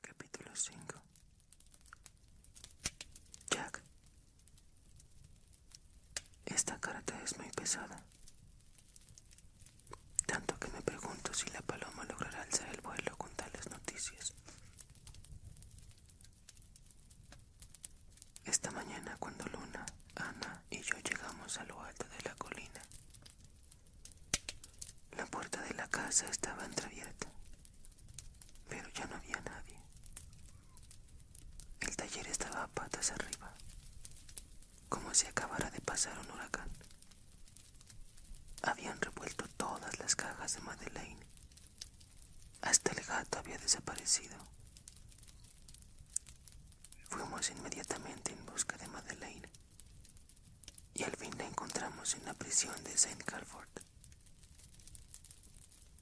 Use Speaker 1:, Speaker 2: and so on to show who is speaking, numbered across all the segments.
Speaker 1: Capítulo 5 Jack Esta carta es muy pesada, tanto que me pregunto si la paloma logrará alzar el vuelo con tales noticias. Esta mañana cuando Luna, Ana y yo llegamos a lo alto de la colina, la puerta de la casa estaba entreabierta, pero ya no había nadie. El taller estaba a patas arriba, como si acabara de pasar un huracán. Habían revuelto todas las cajas de Madeleine. Hasta el gato había desaparecido. Fuimos inmediatamente en busca de Madeleine y al fin la encontramos en la prisión de St. Calford.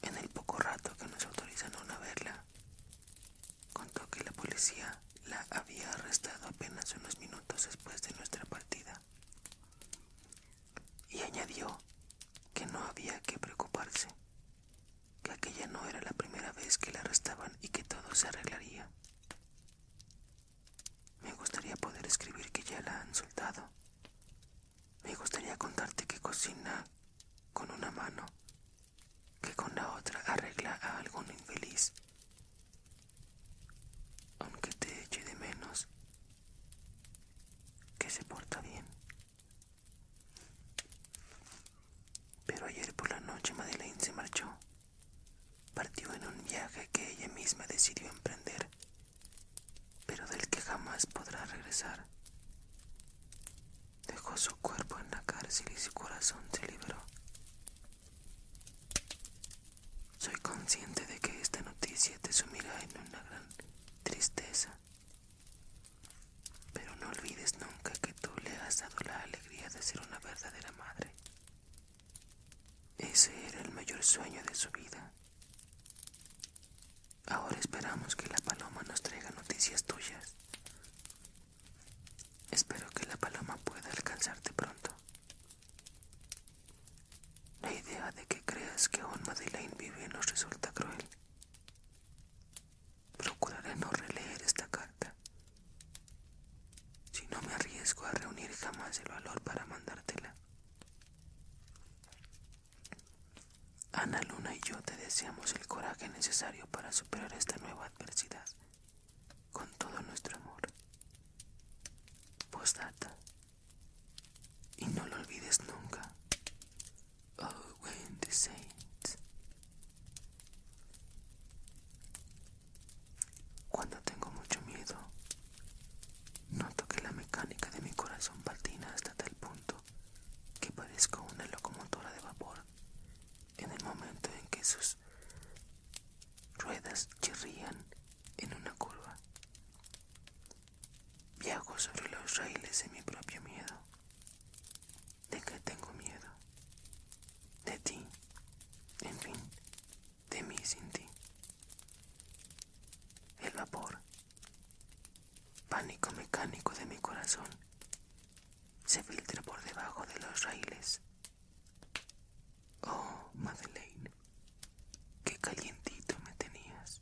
Speaker 1: En el poco rato que nos autorizaron a verla, contó que la policía la había arrestado apenas unos minutos después de nuestra partida y añadió que no había que preocuparse, que aquella no era la primera vez que la arrestaban y que todo se arreglaría. Me gustaría poder escribir que ya la han soltado. Me gustaría contarte que cocina con una mano, que con la otra arregla a algún infeliz. Aunque te eche de menos, que se porta bien. Pero ayer por la noche Madeleine se marchó. Partió en un viaje que ella misma decidió emprender, pero del que jamás podrá regresar. Dejó su cuerpo en la cárcel y su corazón se liberó. Soy consciente de que esta noticia te sumirá en una gran tristeza, pero no olvides nunca que tú le has dado la alegría de ser una verdadera madre. Ese era el mayor sueño de su vida. Ahora esperamos que la paloma nos traiga noticias tuyas. Espero que la paloma pueda alcanzarte pronto. La idea de que creas que aún Madeleine vive nos resulta cruel. Procuraré no releer esta carta. Si no me arriesgo a reunir jamás el valor para mandártela. Ana Luna y yo te deseamos el coraje necesario para superar esta nueva adversidad con todo nuestro amor. Postdata. Y no lo olvides nunca. Oh, Wendy saints. Cuando tengo mucho miedo, noto que la mecánica de mi corazón patina hasta tal punto que parezco una locomotora de vapor en el momento en que sus ruedas chirrían en una curva. Viajo sobre los raíles de mi propio miedo. ¿De qué tengo miedo? de ti, en fin, de mí sin ti. El vapor, pánico mecánico de mi corazón, se filtra por debajo de los raíles. Oh, Madeleine, qué calientito me tenías.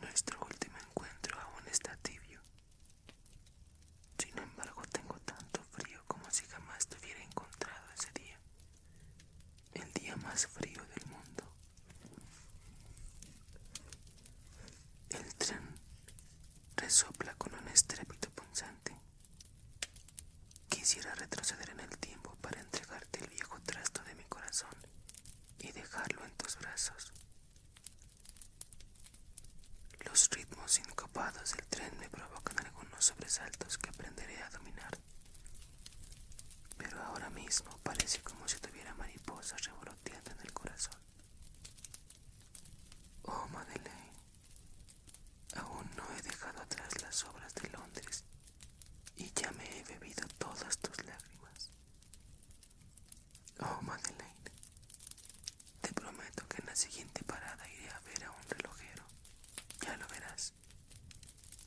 Speaker 1: Nuestro último encuentro aún está tibio. Sin embargo, tengo tanto frío como si jamás te hubiera encontrado ese día. El día más frío del mundo. El tren resopla con un estrépito punzante. Quisiera retroceder en el tiempo para entregarte el viejo trasto de mi corazón y dejarlo en tus brazos. Los ritmos sincopados del tren me provocan algunos sobresaltos que aprenderé a dominar. Pero ahora mismo parece como si tuviera mariposas revoloteando en el corazón. Oh, Madeleine, aún no he dejado atrás las obras de Londres y ya me he bebido todas tus lágrimas. Oh, Madeleine, te prometo que en la siguiente parada iré a ver a un relojero. Ya lo verás.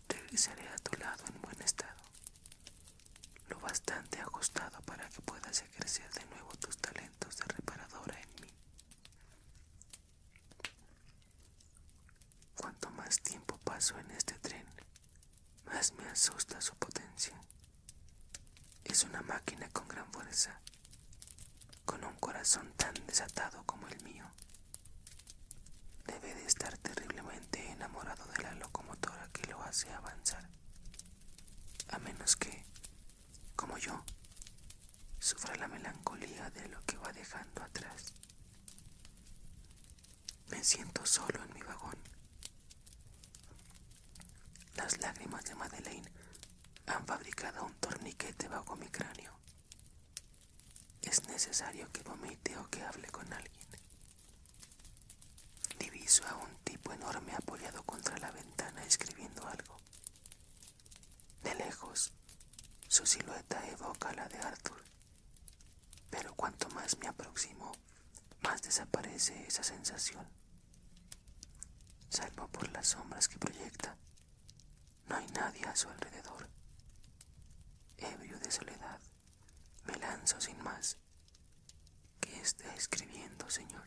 Speaker 1: Regresaré a tu lado en buen estado. Lo bastante ajustado para que puedas ejercer de nuevo tus talentos de reparadora en mí. Cuanto más tiempo paso en este tren, más me asusta su potencia. Es una máquina con gran fuerza con un corazón tan desatado como el mío. Debe de estar terriblemente enamorado de la locomotora que lo hace avanzar. A menos que, como yo, sufra la melancolía de lo que va dejando atrás. Me siento solo en mi vagón. Las lágrimas de Madeleine han fabricado un torniquete bajo mi cráneo. Es necesario que vomite o que hable con alguien. Diviso a un tipo enorme apoyado contra la ventana escribiendo algo. De lejos, su silueta evoca la de Arthur, pero cuanto más me aproximo, más desaparece esa sensación salvo por las sombras que proyecta. No hay nadie a su alrededor. Ebrio de soledad, me lanzo sin más. ¿Qué está escribiendo, señor?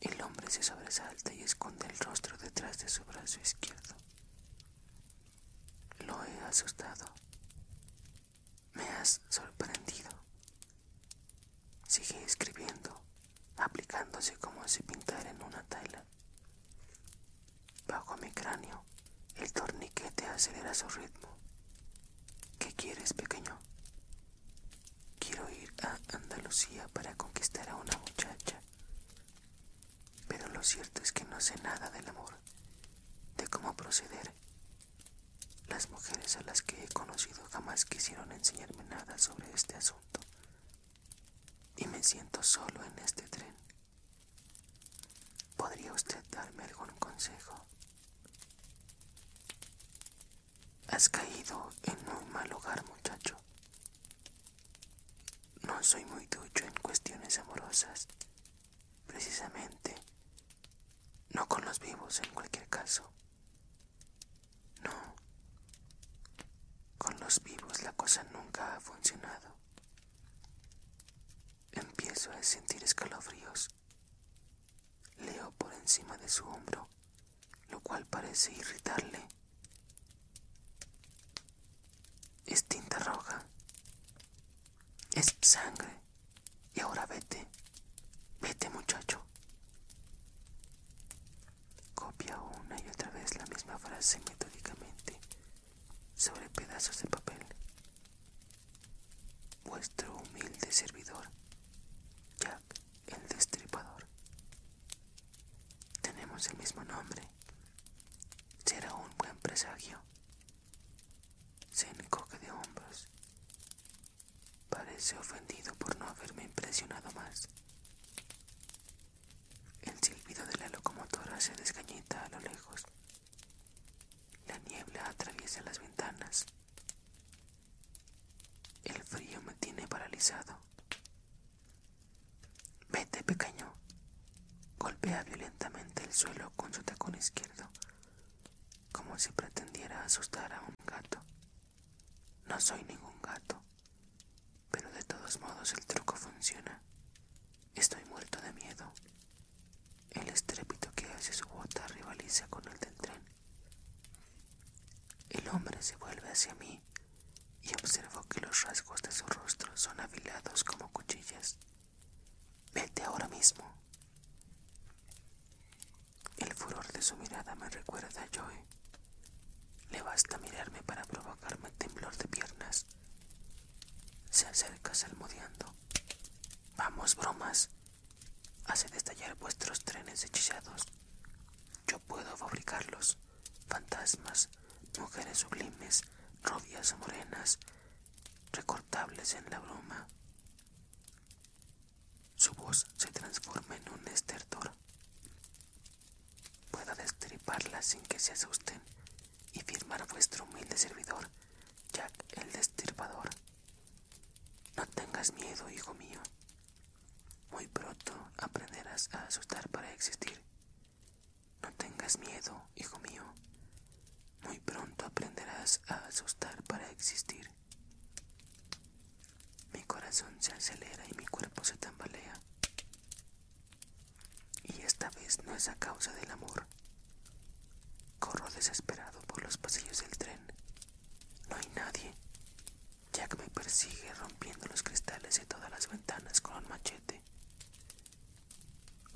Speaker 1: El hombre se sobresalta y esconde el rostro detrás de su brazo izquierdo. Lo he asustado. Me has sorprendido, Sigue escribiendo, aplicándose como si pintara en una tela. Bajo mi cráneo, el torniquete acelera su ritmo. ¿Qué quieres, pequeño? Quiero ir a Andalucía para conquistar a una muchacha. Pero lo cierto es que no sé nada del amor, de cómo proceder. Las mujeres a las que he conocido jamás quisieron enseñarme nada sobre este asunto. Y me siento solo en este tren. ¿Podría usted darme algún consejo? Has caído en un mal hogar, muchacho. No soy muy ducho en cuestiones amorosas. Precisamente, no con los vivos en cualquier caso. No. Con los vivos la cosa nunca ha funcionado. Empiezo a sentir escalofríos. Leo por encima de su hombro, lo cual parece irritarle. Es tinta roja. Es sangre. Y ahora vete. Vete muchacho. Copia una y otra vez la misma frase metódicamente sobre pedazos de papel. Vuestro humilde servidor, Jack el Destripador. Tenemos el mismo nombre. Será un buen presagio. Se encoge de hombros Parece ofendido por no haberme impresionado más. El silbido de la locomotora se desgañita a lo lejos. La niebla atraviesa las ventanas. El frío me tiene paralizado. Vete, pequeño. Golpea violentamente el suelo con su tacón izquierdo, como si pretendiera asustar a un gato. No soy ningún gato, pero de todos modos el truco funciona. Estoy muerto de miedo. El estrépito que hace su bota rivaliza con el del tren. El hombre se vuelve hacia mí y observo que los rasgos de su rostro son afilados como cuchillas. Vete ahora mismo. El furor de su mirada me recuerda a Joe. Le basta mirarme para provocarme temblor de piernas. Se acerca salmodiando. Vamos, bromas. Hace destallar vuestros trenes hechizados. Yo puedo fabricarlos. Fantasmas, mujeres sublimes, rubias morenas, recortables en la broma. Su voz se transforma en un estertor. Puedo destriparla sin que se asusten y firmar a vuestro humilde servidor, Jack el Destripador. No tengas miedo, hijo mío. Muy pronto aprenderás a asustar para existir. No tengas miedo, hijo mío. Muy pronto aprenderás a asustar para existir. Mi corazón se acelera y mi cuerpo se tambalea. Y esta vez no es a causa del amor. Corro desesperado por los pasillos del tren. No hay nadie. Jack me persigue rompiendo los cristales de todas las ventanas con un machete.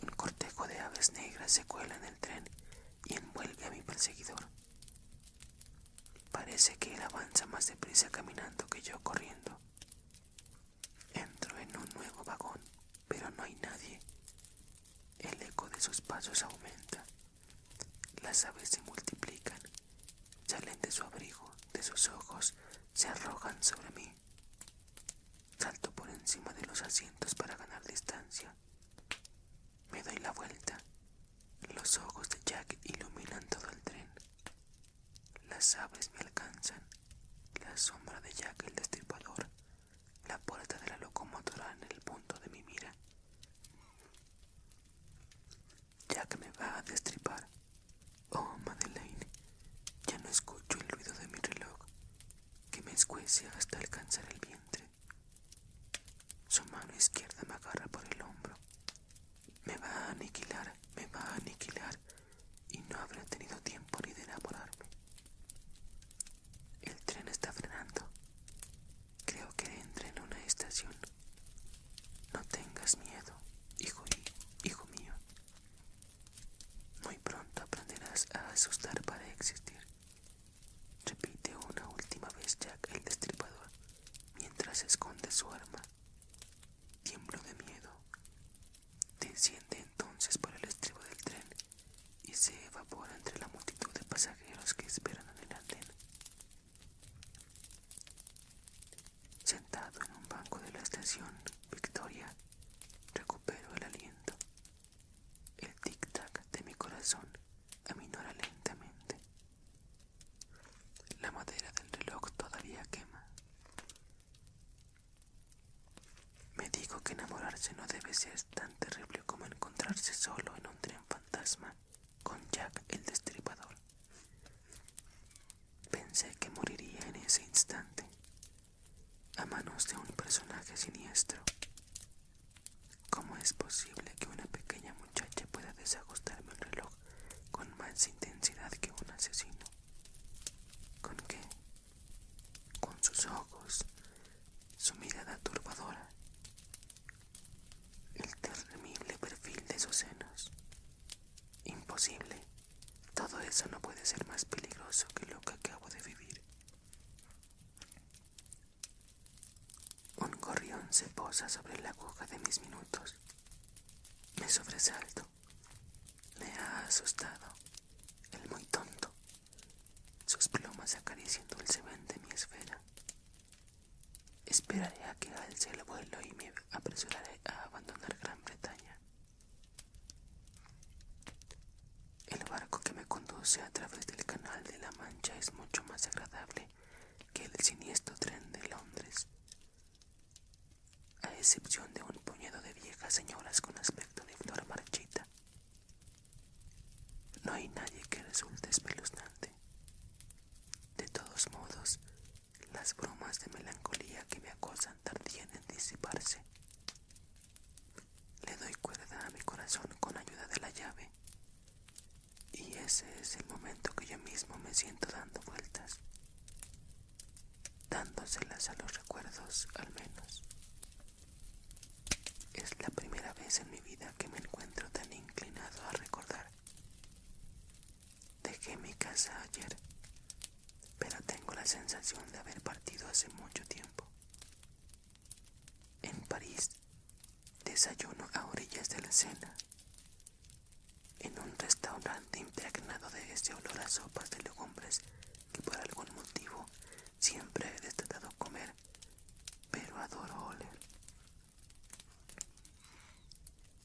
Speaker 1: Un cortejo de aves negras se cuela en el tren y envuelve a mi perseguidor. Parece que él avanza más deprisa caminando que yo corriendo. Entro en un nuevo vagón, pero no hay nadie. El eco de sus pasos aumenta. Las aves se multiplican, salen de su abrigo, de sus ojos, se arrojan sobre mí. Salto por encima de los asientos para ganar distancia. Me doy la vuelta. Los ojos de Jack iluminan todo el tren. Las aves me alcanzan. La sombra de Jack el destripador. La puerta de la locomotora en el punto de mi mira. Jack me va a destripar. Oh, Madeleine, ya no escucho el ruido de mi reloj que me escuece hasta alcanzar el vientre. Su mano izquierda me agarra por el hombro. Me va a aniquilar, me va a aniquilar, y no habrá tenido tiempo ni de enamorarme. El tren está frenando. Creo que entra en una estación. No tengas miedo, hijo, hijo mío. Muy pronto aprenderás a asustar para existir repite una última vez Jack el destripador mientras esconde su arma. Tiemblo de miedo. Desciende entonces por el estribo del tren y se evapora entre la multitud de pasajeros que esperan en el andén. Sentado en un banco de la estación, Victoria, recupero el aliento. El tic-tac de mi corazón aminora lentamente. La madera del reloj todavía quema. Me digo que enamorarse no debe ser tan terrible como encontrarse solo en un tren fantasma con Jack el destripador. Pensé que moriría en ese instante, a manos de un personaje siniestro, ¿Cómo es posible que una pequeña muchacha pueda desajustarme el reloj con más intensidad que un asesino? ¿Con qué? Con sus ojos, su mirada turbadora, el terrible perfil de sus senos. Imposible. Todo eso no puede ser más peligroso que lo que acabo de vivir. Un gorrión se posa sobre la aguja de mis minutos. Me sobresalto. Me ha asustado. El muy tonto. Sus plumas acarician dulcemente mi esfera. Esperaré a que alce el vuelo y me apresuraré a abandonar Gran Bretaña. El barco que me conduce a través del canal de la Mancha es mucho más agradable que el siniestro tren de Londres. A excepción de un puñado de viejas señoras con aspecto de flor marchita. No hay nadie que resulte espeluznante. De todos modos, las bromas de melancolía que me acosan tardían en disiparse. Le doy cuerda a mi corazón con ayuda de la llave. Y ese es el momento que yo mismo me siento dando vueltas, dándoselas a los recuerdos al menos. Es la primera vez en mi vida que me encuentro tan inclinado a recordar. Dejé mi casa ayer, pero tengo la sensación de haber partido hace mucho tiempo. En París, desayuno a orillas de la Sena, en un restaurante impregnado de ese olor a sopas de legumbres que por algún motivo siempre he destacado comer, pero adoro oler.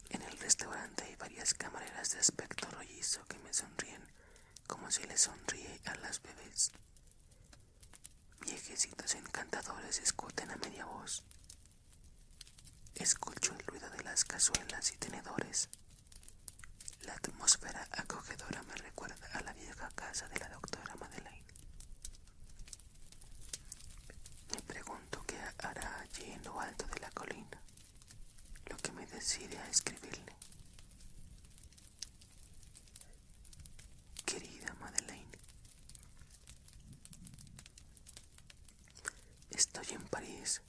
Speaker 1: En el restaurante hay varias camareras de aspecto rollizo que me sonríen como si les sonríe a las bebés. Viejecitos encantadores escuten a media voz. Escucho el ruido de las cazuelas y tenedores. La atmósfera acogedora me recuerda a la vieja casa de la doctora Madeleine. Me pregunto qué hará allí en lo alto de la colina, lo que me decide a escribirle. Querida Madeleine, estoy en París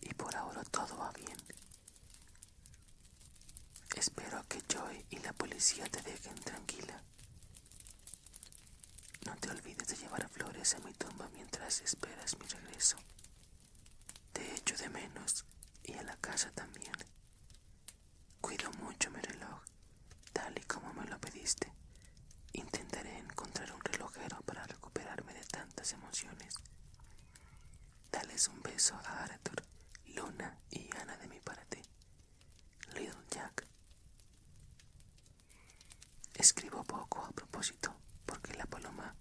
Speaker 1: y por ahora todo va bien. Espero que Joy y la policía te dejen tranquila. No te olvides de llevar flores a mi tumba mientras esperas mi regreso. Te echo de menos y a la casa también. Cuido mucho mi reloj, tal y como me lo pediste. Intentaré encontrar un relojero para recuperarme de tantas emociones. Dales un beso a Arthur, Luna y Ana de mi parte. Little Jack. Escribo poco a propósito porque la paloma,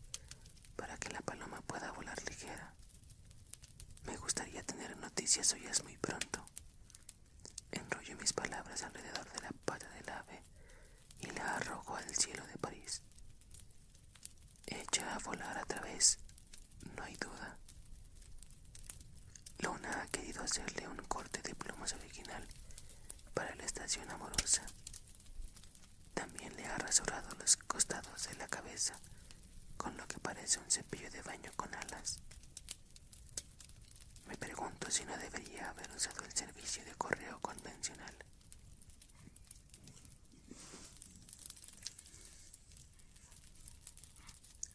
Speaker 1: para que la paloma pueda volar ligera, me gustaría tener noticias suyas muy pronto. Enrollo mis palabras alrededor de la pata del ave y la arrojo al cielo de París. Echa a volar a través, no hay duda. Luna ha querido hacerle un corte de plumas original para la estación amorosa. También le ha rasurado los costados de la cabeza con lo que parece un cepillo de baño con alas. Me pregunto si no debería haber usado el servicio de correo convencional.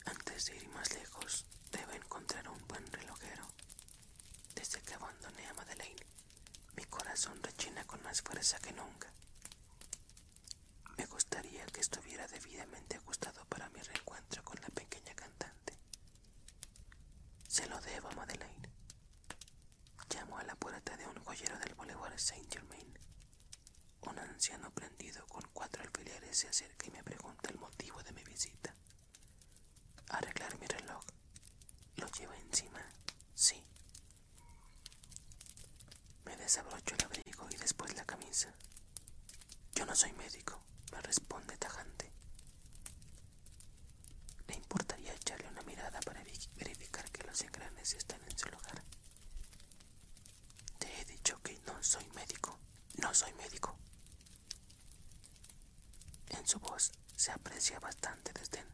Speaker 1: Antes de ir más lejos, debo encontrar un buen relojero. Desde que abandoné a Madeleine, mi corazón rechina con más fuerza que nunca. Me gustaría que estuviera debidamente ajustado para mi reencuentro con la pequeña cantante. Se lo debo, a Madeleine. Llamo a la puerta de un joyero del Boulevard Saint Germain. Un anciano prendido con cuatro alfileres se acerca y me pregunta el motivo de mi visita. Arreglar mi reloj. ¿Lo lleva encima? Sí. Me desabrocho el abrigo y después la camisa. Yo no soy médico, me responde tajante. ¿Le importaría echarle una mirada para verificar que los engranes están en su lugar? Te he dicho que no soy médico, no soy médico. En su voz se aprecia bastante desdén.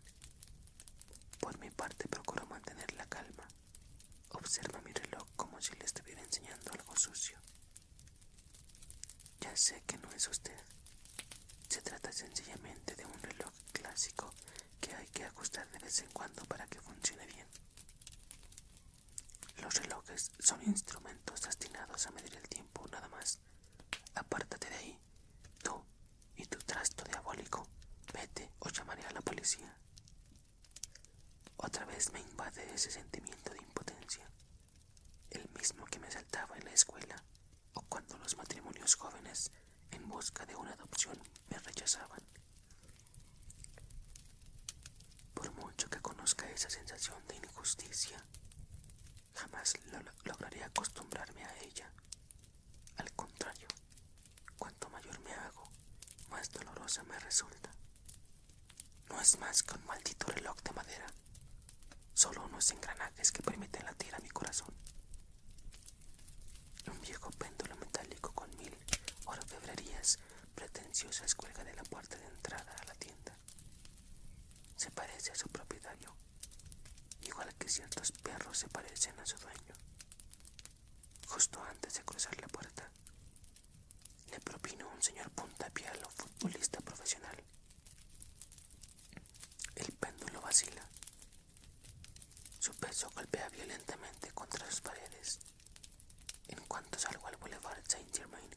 Speaker 1: Por mi parte procuro mantener la calma observa mi reloj como si le estuviera enseñando algo sucio. Ya sé que no es usted. Se trata sencillamente de un reloj clásico que hay que ajustar de vez en cuando para que funcione bien. Los relojes son instrumentos destinados a medir el tiempo nada más. Apártate de ahí, tú y tu trasto diabólico. Vete o llamaré a la policía. Otra vez me invade ese sentimiento de impotencia, el mismo que me saltaba en la escuela o cuando los matrimonios jóvenes en busca de una adopción me rechazaban. Por mucho que conozca esa sensación de injusticia, jamás lograré acostumbrarme a ella. Al contrario, Cuanto mayor me hago, más dolorosa me resulta. No es más que un maldito reloj de madera, solo unos engranajes que permiten latir a mi corazón. Un viejo péndulo metálico con mil orfebrerías pretenciosas cuelga de la puerta de entrada a la tienda. Se parece a su propietario, igual que ciertos perros se parecen a su dueño. Justo antes de cruzar la puerta, le propino un señor puntapié a lo futbolista profesional. El péndulo vacila. Su peso golpea violentamente contra las paredes. En cuanto salgo al Boulevard Saint Germain,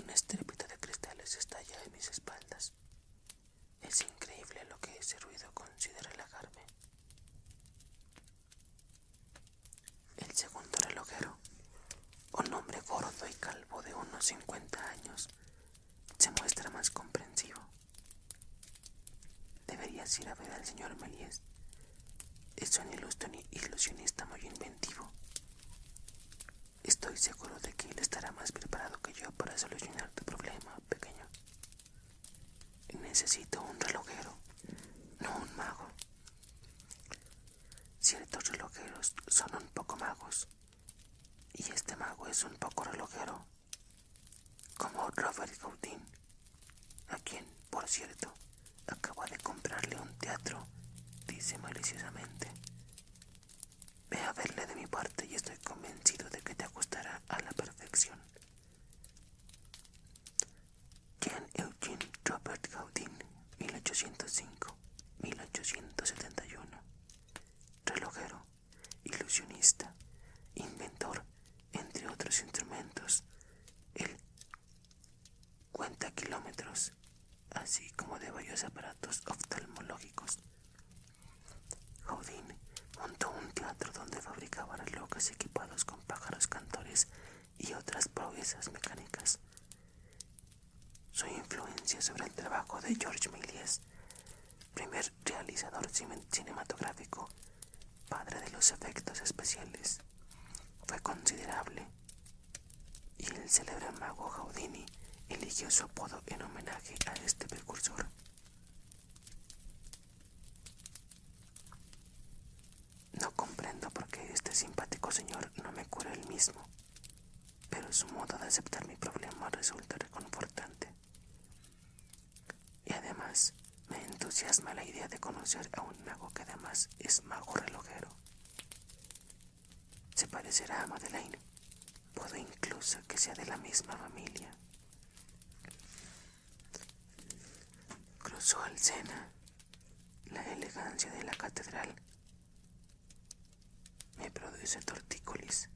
Speaker 1: un estrépito de cristales estalla en mis espaldas. Es increíble lo que ese ruido considera relajarme. El segundo relojero, un hombre gordo y calvo de unos 50 años, se muestra más comprensivo. Deberías ir a ver al señor Melies. Es un ilusionista muy inventivo. Estoy seguro de que él estará más preparado que yo para solucionar tu problema, pequeño. Necesito un relojero, no un mago. Ciertos relojeros son un poco magos, y este mago es un poco relojero, como Robert Gaudin, a quien, por cierto, acabo de comprarle un teatro, dice maliciosamente. Ve a verle de mi parte y estoy convencido de que te ajustará a la perfección. Jean Eugene Robert Gaudin, 1805-1871. Relojero, ilusionista, inventor, entre otros instrumentos, el cuenta kilómetros, así como de varios aparatos oftalmológicos montó un teatro donde fabricaba locas equipados con pájaros cantores y otras proezas mecánicas. Su influencia sobre el trabajo de George Méliès, primer realizador cinematográfico, padre de los efectos especiales, fue considerable y el célebre mago Houdini eligió su apodo en homenaje a este precursor. No comprendo por qué este simpático señor no me cura el mismo, pero su modo de aceptar mi problema resulta reconfortante. Y además, me entusiasma la idea de conocer a un mago que además es mago relojero. Se parecerá a Madeleine. Puedo incluso que sea de la misma familia. Cruzó al Sena, la elegancia de la catedral. Me produce tortícolis.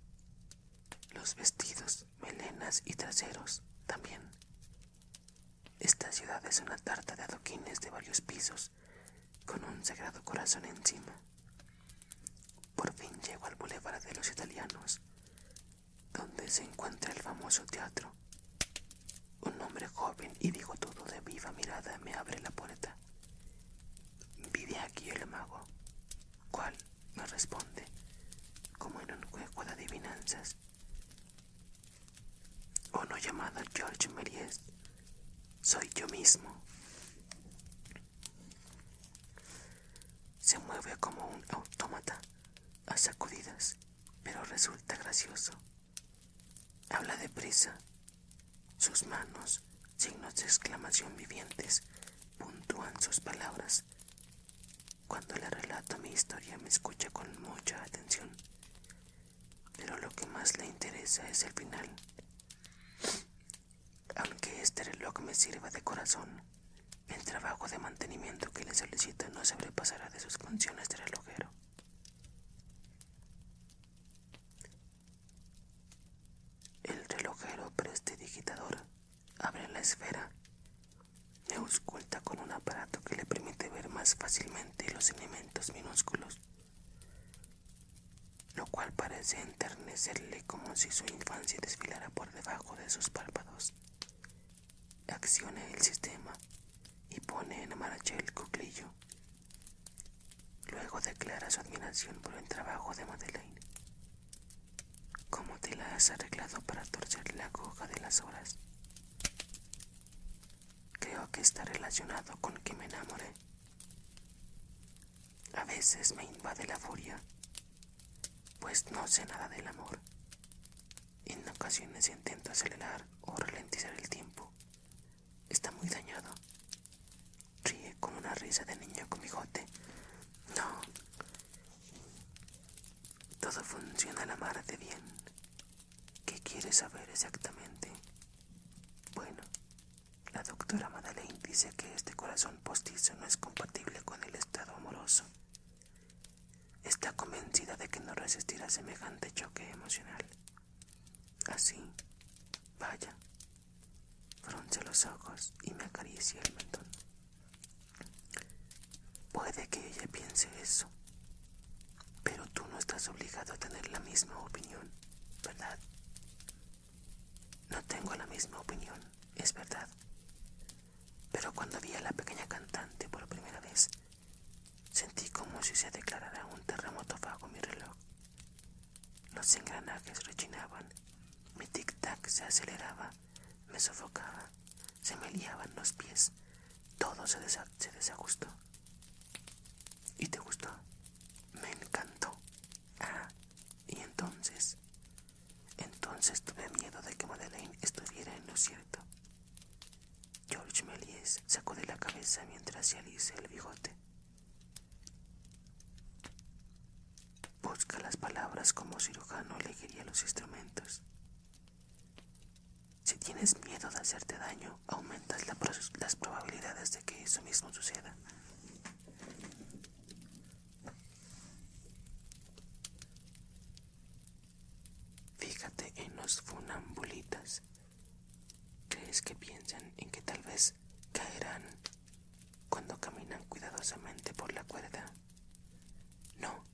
Speaker 1: Los vestidos, melenas y traseros también. Esta ciudad es una tarta de adoquines de varios pisos, con un sagrado corazón encima. Por fin llego al bulevar de los italianos, donde se encuentra el famoso teatro. Un hombre joven y digo todo de viva mirada me abre la puerta. Vive aquí el mago, cual me responde, como en un juego de adivinanzas. Uno llamado George Méliès, soy yo mismo. Se mueve como un autómata a sacudidas pero resulta gracioso. Habla deprisa. Sus manos, signos de exclamación vivientes, puntúan sus palabras. Cuando le relato mi historia me escucha con mucha atención, pero lo que más le interesa es el final. Aunque este reloj me sirva de corazón, el trabajo de mantenimiento que le solicita no sobrepasará de sus funciones de relojero. El relojero prestidigitador abre la esfera Neus cuenta con un aparato que le permite ver más fácilmente los elementos minúsculos, lo cual parece enternecerle como si su infancia desfilara por debajo de sus párpados. Accione el sistema y pone en marcha el cuclillo. Luego declara su admiración por el trabajo de Madeleine. ¿Cómo te la has arreglado para torcer la coja de las horas? Creo que está relacionado con que me enamoré. A veces me invade la furia, pues no sé nada del amor en ocasiones intento acelerar o ralentizar el tiempo. Está muy dañado. Ríe como una risa de niño con bigote. No. Todo funciona a la mar de bien. ¿Qué quieres saber exactamente? Bueno, la doctora Madeleine dice que este corazón postizo no es compatible con el estado amoroso. Está convencida de que no resistirá semejante choque emocional. Así, vaya, frunce los ojos y me acaricia el mentón. Puede que ella piense eso, pero tú no estás obligado a tener la misma opinión, ¿verdad? No tengo la misma opinión, es verdad, pero cuando vi a la pequeña cantante por primera vez, sentí como si se declarara un terremoto bajo mi reloj. Los engranajes rechinaban, mi tic-tac se aceleraba, me sofocaba, se me liaban los pies, todo se, desajustó. ¿Y te gustó? Me encantó. Ah, y entonces entonces tuve miedo de que Madeleine estuviera en lo cierto. George Melies sacó de la cabeza mientras se alisa el bigote. Busca las palabras como cirujano elegiría los instrumentos. Si tienes miedo de hacerte daño, aumentas las probabilidades de que eso mismo suceda. Fíjate en los funambulitas. ¿Crees que piensan en que tal vez caerán cuando caminan cuidadosamente por la cuerda? No.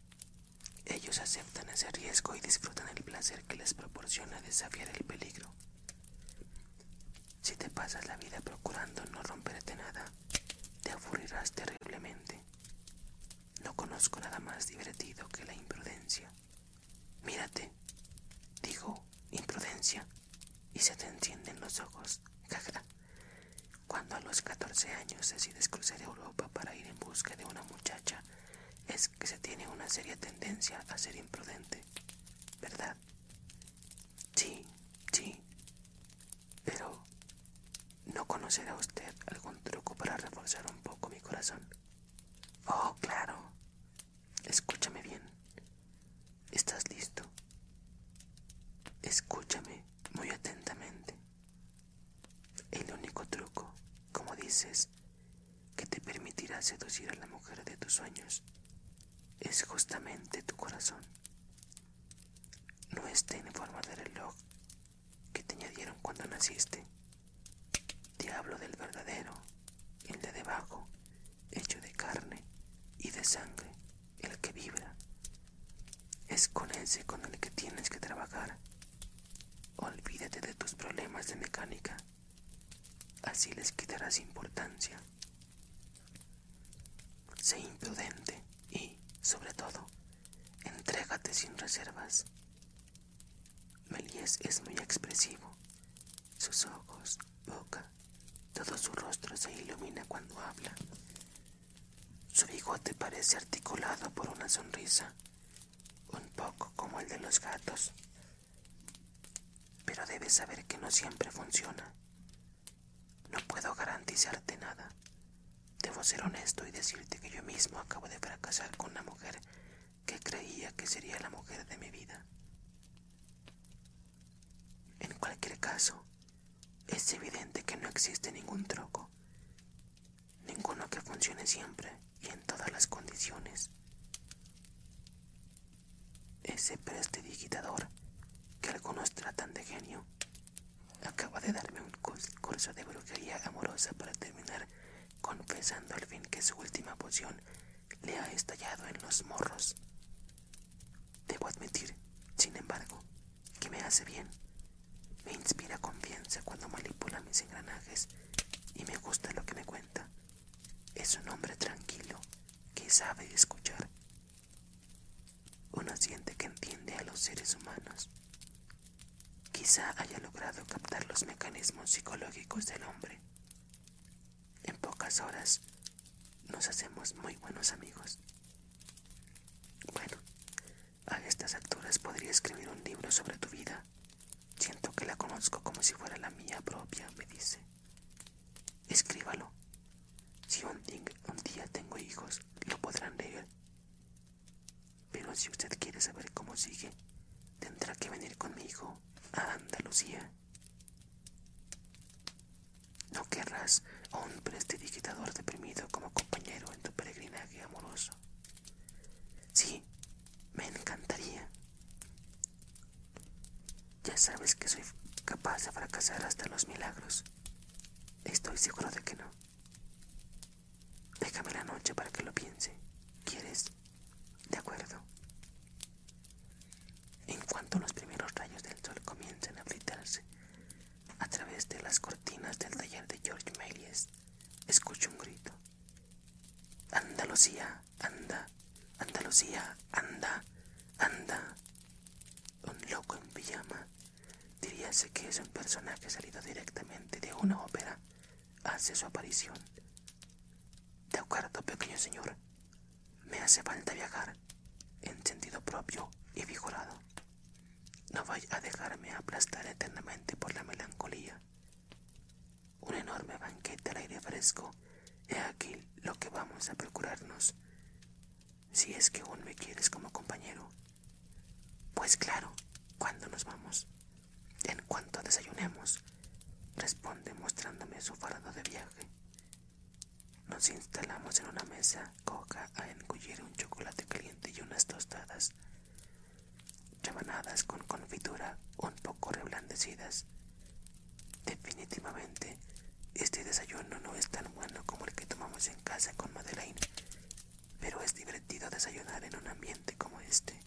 Speaker 1: Ellos aceptan ese riesgo y disfrutan el placer que les proporciona desafiar el peligro. Si te pasas la vida procurando no romperte nada, te aburrirás terriblemente. No conozco nada más divertido que la imprudencia. Mírate, digo, imprudencia, y se te encienden los ojos. Cuando a los 14 años decides cruzar Europa para ir en busca de una muchacha, es que se tiene una seria tendencia a ser imprudente, ¿verdad? Sí, sí. Pero ¿No conocerá usted algún truco para reforzar un poco mi corazón? Oh, claro. Escúchame bien. ¿Estás listo? Escúchame muy atentamente. El único truco, como dices, que te permitirá seducir a la mujer de tus sueños es justamente tu corazón no esté en forma de reloj que te añadieron cuando naciste. Diablo del verdadero, el de debajo, hecho de carne y de sangre, el que vibra. Es con ese con el que tienes que trabajar. Olvídate de tus problemas de mecánica. Así les quitarás importancia. Sé imprudente y, sobre todo, Entrégate sin reservas. Melies es muy expresivo. Sus ojos, boca, todo su rostro se ilumina cuando habla. Su bigote parece articulado por una sonrisa, un poco como el de los gatos. Pero debes saber que no siempre funciona. No puedo garantizarte nada. Debo ser honesto y decirte que yo mismo acabo de fracasar con una mujer que creía que sería la mujer de mi vida. En cualquier caso, es evidente que no existe ningún truco, ninguno que funcione siempre y en todas las condiciones. Ese digitador que algunos tratan de genio Acaba de darme un curso de brujería amorosa para terminar confesando al fin que su última poción le ha estallado en los morros. Debo admitir, sin embargo, que me hace bien. Me inspira confianza cuando manipula mis engranajes y me gusta lo que me cuenta. Es un hombre tranquilo que sabe escuchar uno siente que entiende a los seres humanos. Quizá haya logrado captar los mecanismos psicológicos del hombre. En pocas horas nos hacemos muy buenos amigos. Bueno, a estas alturas podría escribir un libro sobre tu vida. Siento que la conozco como si fuera la mía propia, me dice. Escríbalo si un, día tengo hijos, lo podrán leer. Pero si usted quiere saber cómo sigue, tendrá que venir conmigo a Andalucía. No querrás a un prestidigitador deprimido como compañero en tu peregrinaje amoroso. Sí, me encantaría. Ya sabes que soy capaz de fracasar hasta los milagros. Estoy seguro de que no. Déjame la noche para que lo piense. ¿Quieres? De acuerdo. En cuanto los primeros rayos del sol comienzan a fritarse a través de las cortinas del taller de George Melius, escucho un grito. Andalucía, anda, Andalucía, anda, anda. Un loco en pijama Diríase que es un personaje salido directamente de una ópera. Hace su aparición. De acuerdo, pequeño señor. Me hace falta viajar en sentido propio y vigorado. No vaya a dejarme aplastar eternamente por la melancolía. Un enorme banquete al aire fresco. He aquí lo que vamos a procurarnos si es que aún me quieres como compañero. Pues claro, ¿cuándo nos vamos? En cuanto desayunemos, responde mostrándome su fardo de viaje. Nos instalamos en una mesa coca a engullir un chocolate caliente y unas tostadas, rebanadas con confitura un poco reblandecidas. Definitivamente este desayuno no es tan bueno como el que tomamos en casa con Madeleine, pero es divertido desayunar en un ambiente como este.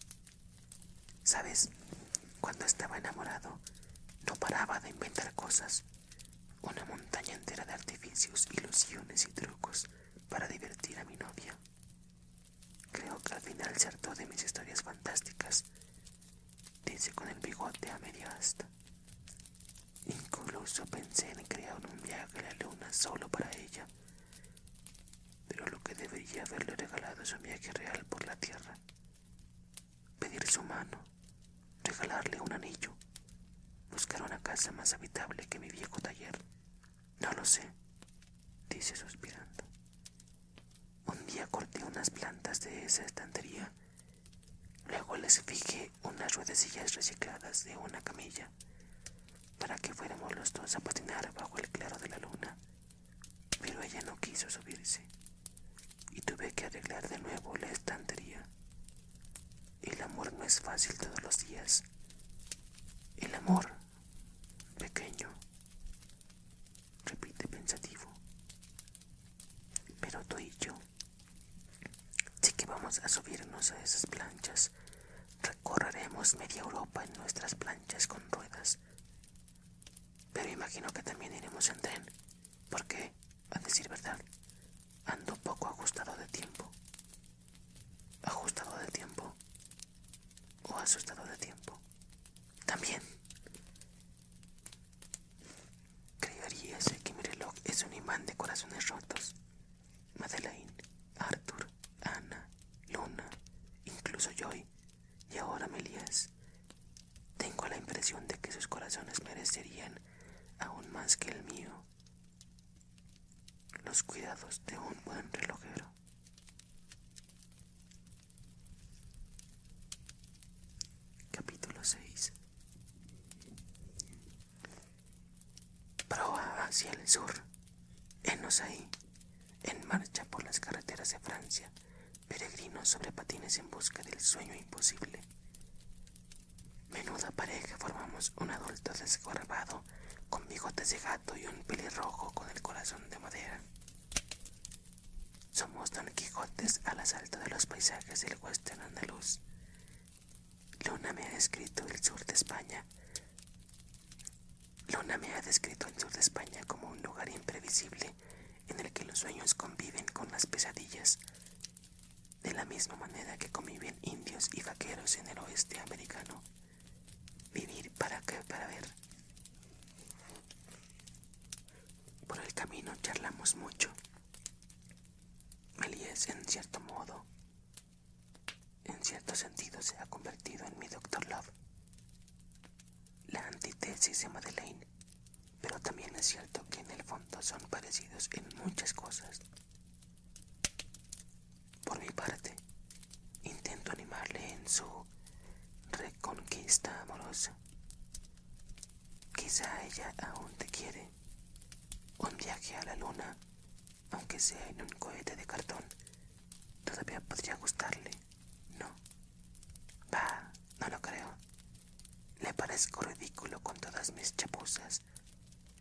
Speaker 1: Sabes, cuando estaba enamorado, no paraba de inventar cosas, una montaña entera de artificios, ilusiones y trucos para divertir a mi novia. Creo que al final se hartó de mis historias fantásticas, dice con el bigote a media asta. Incluso pensé en crear un viaje a la luna solo para ella. Pero lo que debería haberle regalado es un viaje real por la tierra. Pedir su mano, regalarle un anillo, buscar una casa más habitable que mi viejo taller. No lo sé, dice suspirando. Un día corté unas plantas de esa estantería Luego les fijé unas ruedecillas recicladas de una camilla para que fuéramos los dos a patinar bajo el claro de la luna, pero ella no quiso subirse y tuve que arreglar de nuevo la estantería. El amor no es fácil todos los días. El amor, pequeño, repite pensativo, pero tú y yo sí que vamos a subirnos a esas planchas. Recorreremos media Europa en nuestras planchas con ruedas. Pero imagino que también iremos en tren, porque, a decir verdad, ando poco ajustado de tiempo. ¿Ajustado de tiempo? ¿O asustado de tiempo? También. Creeríase que mi reloj es un imán de corazones rotos. Madeleine, Arthur, Ana, Luna, incluso Joy y ahora Melías. Tengo la impresión de que sus corazones merecerían aún más que el mío los cuidados de un buen relojero. Capítulo 6 Proa hacia el sur. Enos ahí, en marcha por las carreteras de Francia, peregrinos sobre patines en busca del sueño imposible. Menuda pareja formamos un adulto desgarbado con bigotes de gato y un pelirrojo con el corazón de madera. Somos Don Quijotes al asalto de los paisajes del hueste andaluz, Luna me ha descrito el sur de España. Luna me ha descrito el sur de España como un lugar imprevisible en el que los sueños conviven con las pesadillas, de la misma manera que conviven indios y vaqueros en el oeste americano. Vivir para qué, para ver. Por el camino charlamos mucho es en cierto modo, en cierto sentido, se ha convertido en mi Doctor Love, la antítesis de Madeleine, pero también es cierto que en el fondo son parecidos en muchas cosas. Por mi parte, intento animarle en su reconquista amorosa. Quizá ella aún te quiere un viaje a la luna, aunque sea en un cohete de cartón, todavía podría gustarle, ¿no? Bah, no lo creo. Le parezco ridículo con todas mis chapuzas.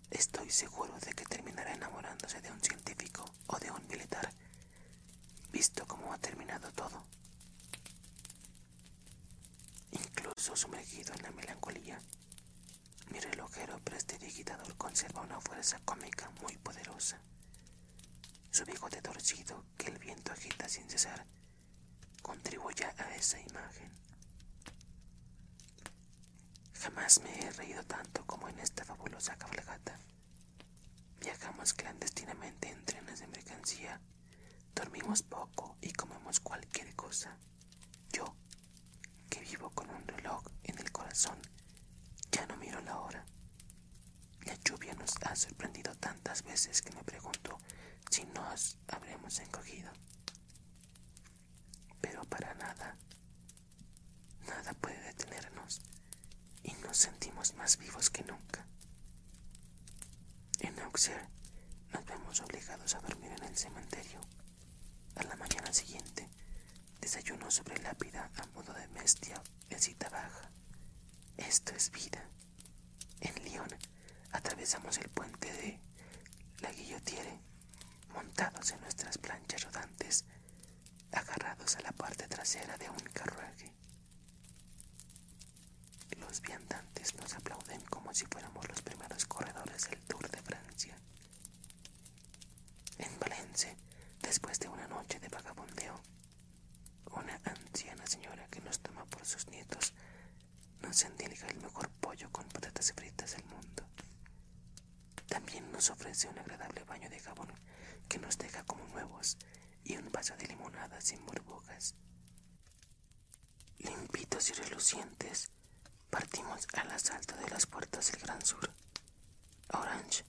Speaker 1: Estoy seguro de que terminará enamorándose de un científico o de un militar, visto cómo ha terminado todo. Incluso sumergido en la melancolía, mi relojero prestidigitador conserva una fuerza cómica muy poderosa. Su bigote torcido que el viento agita sin cesar contribuye a esa imagen. Jamás me he reído tanto como en esta fabulosa cabalgata. Viajamos clandestinamente en trenes de mercancía Dormimos poco y comemos cualquier cosa. Yo, que vivo con un reloj en el corazón, ya no miro la hora. La lluvia nos ha sorprendido tantas veces que me pregunto si nos habremos encogido. Pero para nada, nada puede detenernos y nos sentimos más vivos que nunca. En Auxerre nos vemos obligados a dormir en el cementerio. A la mañana siguiente, desayuno sobre lápida a modo de bestia en cita baja. Esto es vida. En Lyon atravesamos el puente de la Guillotiere, montados en nuestras planchas rodantes, agarrados a la parte trasera de un carruaje. Los viandantes nos aplauden como si fuéramos los primeros corredores del Tour de Francia. En Valencia, después de una noche de vagabondeo, una anciana señora que nos toma por sus nietos nos endilga el mejor pollo con patatas fritas del mundo. También nos ofrece un agradable baño de jabón que nos deja como nuevos y un vaso de limonada sin burbujas. Limpitos y relucientes, partimos al asalto de las puertas del Gran Sur. Orange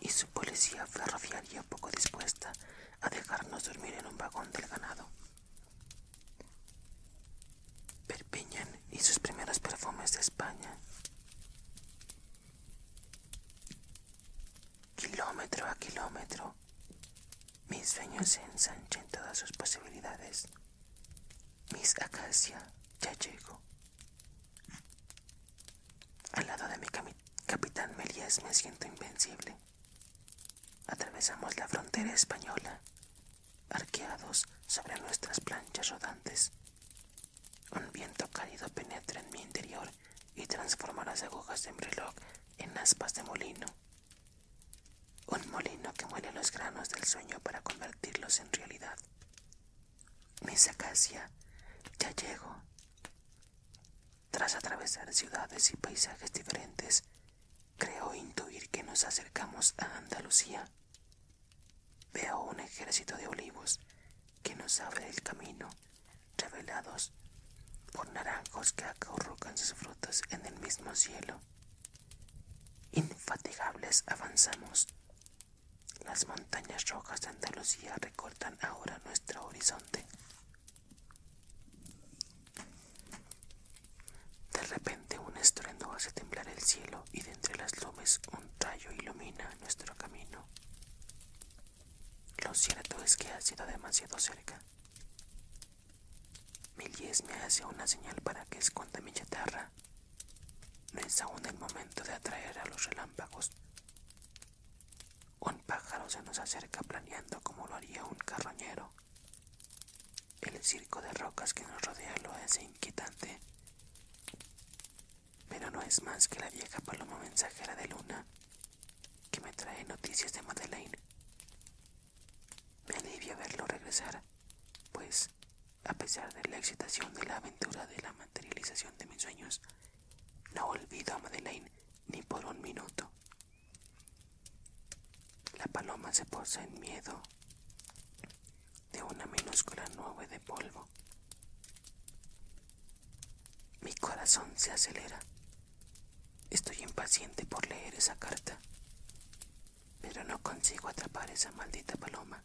Speaker 1: y su policía ferroviaria poco dispuesta a dejarnos dormir en un vagón del ganado. Perpiñan y sus primeros perfumes de España. Kilómetro a kilómetro, mis sueños se ensanchan todas sus posibilidades. Mis Acacia ya llegó. Al lado de mi capitán Melías me siento invencible. Atravesamos la frontera española, arqueados sobre nuestras planchas rodantes. Un viento cálido penetra en mi interior y transforma las agujas de mi reloj en aspas de molino. Un molino que muele los granos del sueño para convertirlos en realidad. Mis acacia, ya llego. Tras atravesar ciudades y paisajes diferentes, creo intuir que nos acercamos a Andalucía. Veo un ejército de olivos que nos abre el camino, revelados por naranjos que acorrucan sus frutos en el mismo cielo. Infatigables avanzamos. Las montañas rojas de Andalucía recortan ahora nuestro horizonte. De repente un estruendo hace temblar el cielo y de entre las nubes un rayo ilumina nuestro camino. Lo cierto es que ha sido demasiado cerca. Milies me hace una señal para que esconda mi chatarra. No es aún el momento de atraer a los relámpagos. Un pájaro se nos acerca planeando como lo haría un carroñero. El circo de rocas que nos rodea lo hace inquietante. Pero no es más que la vieja paloma mensajera de luna que me trae noticias de Madeleine. Me alivia verlo regresar, pues, a pesar de la excitación de la aventura de la materialización de mis sueños, no olvido a Madeleine ni por un minuto. La paloma se posa en miedo de una minúscula nube de polvo. Mi corazón se acelera Estoy impaciente por leer esa carta, pero no consigo atrapar esa maldita paloma.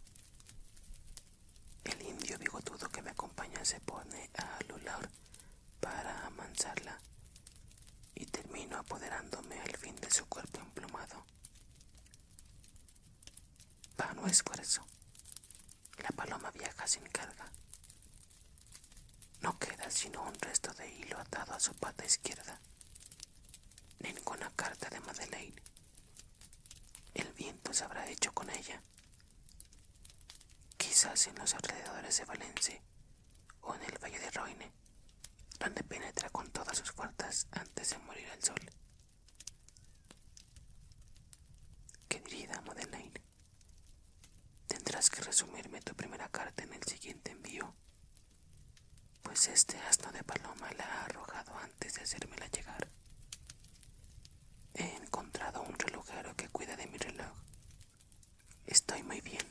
Speaker 1: El indio bigotudo que me acompaña se pone a Lular para amansarla y termino apoderándome al fin de su cuerpo emplumado. Vano esfuerzo. La paloma viaja sin carga, no queda sino un resto de hilo atado a su pata izquierda. Ninguna carta de Madeleine. El viento se habrá hecho con ella. Quizás en los alrededores de Valencia o en el valle de Roine, donde penetra con todas sus fuerzas antes de morir el sol. Querida Madeleine, Tendrás que resumirme tu primera carta en el siguiente envío, pues este asno de paloma la ha arrojado antes de hacérmela llegar. He encontrado un relojero que cuida de mi reloj. Estoy muy bien.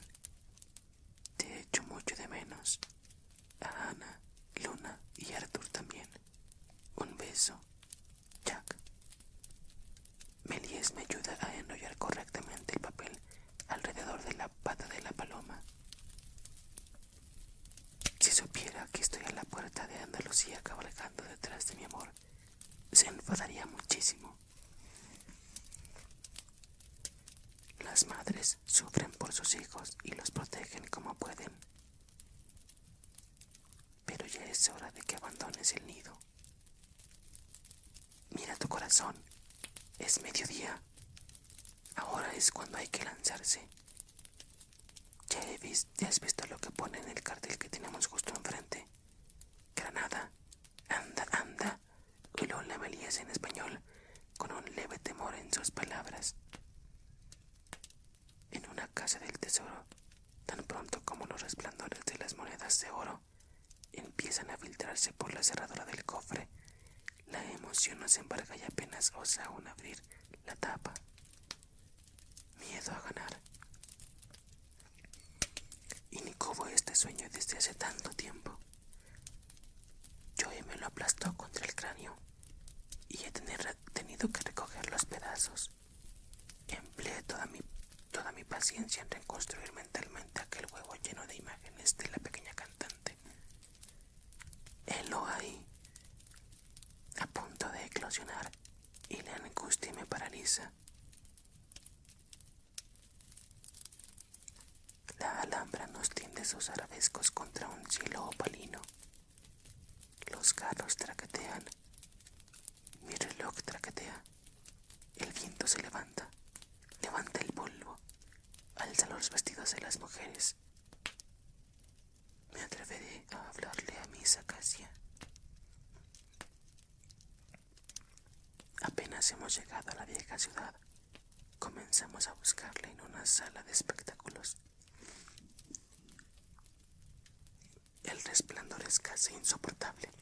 Speaker 1: Te hecho mucho de menos. A Ana, Luna y Arthur también. Un beso, Jack. Melies me ayuda a enrollar correctamente el papel alrededor de la pata de la paloma. Si supiera que estoy a la puerta de Andalucía cabalgando detrás de mi amor, se enfadaría muchísimo. Las madres sufren por sus hijos y los protegen como pueden. Pero ya es hora de que abandones el nido. Mira tu corazón, es mediodía. Ahora es cuando hay que lanzarse. Ya, has visto lo que pone en el cartel que tenemos justo enfrente. Granada, anda, anda, lo la en español, con un leve temor en sus palabras. En una casa del tesoro, tan pronto como los resplandores de las monedas de oro empiezan a filtrarse por la cerradura del cofre. La emoción nos embarga y apenas osa aún abrir la tapa. Miedo a ganar. Y ni como este sueño desde hace tanto tiempo. Joey me lo aplastó contra el cráneo y he tenido que recoger los pedazos. Empleé toda mi, toda mi paciencia en reconstruirme mentalmente aquel huevo lleno de imágenes de la pequeña cantante. lo hay a punto de eclosionar, y la angustia me paraliza. La alhambra nos tiende sus arabescos contra un cielo opalino. Los carros traquetean, mi reloj traquetea. El viento se levanta, levanta el polvo, alza los vestidos de las mujeres. Me atreveré a hablarle a mis casi Apenas hemos llegado a la vieja ciudad, comenzamos a buscarla en una sala de espectáculos. El resplandor es casi insoportable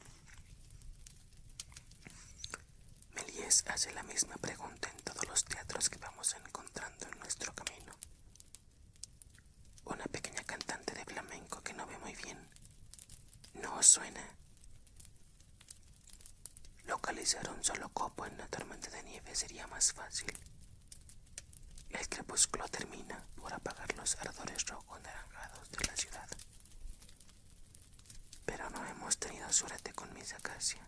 Speaker 1: este. hace la misma pregunta en todos los teatros que vamos encontrando en nuestro camino. Una pequeña cantante de flamenco que no ve muy bien. No suena. Localizar un solo copo en una tormenta de nieve sería más fácil. El crepúsculo termina por apagar los ardores rojos naranjados de la ciudad. Pero no hemos tenido suerte con mis acacia.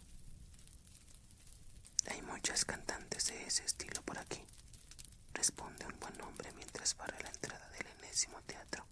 Speaker 1: Hay muchas cantantes de ese estilo por aquí, responde un buen hombre mientras para la entrada del enésimo teatro.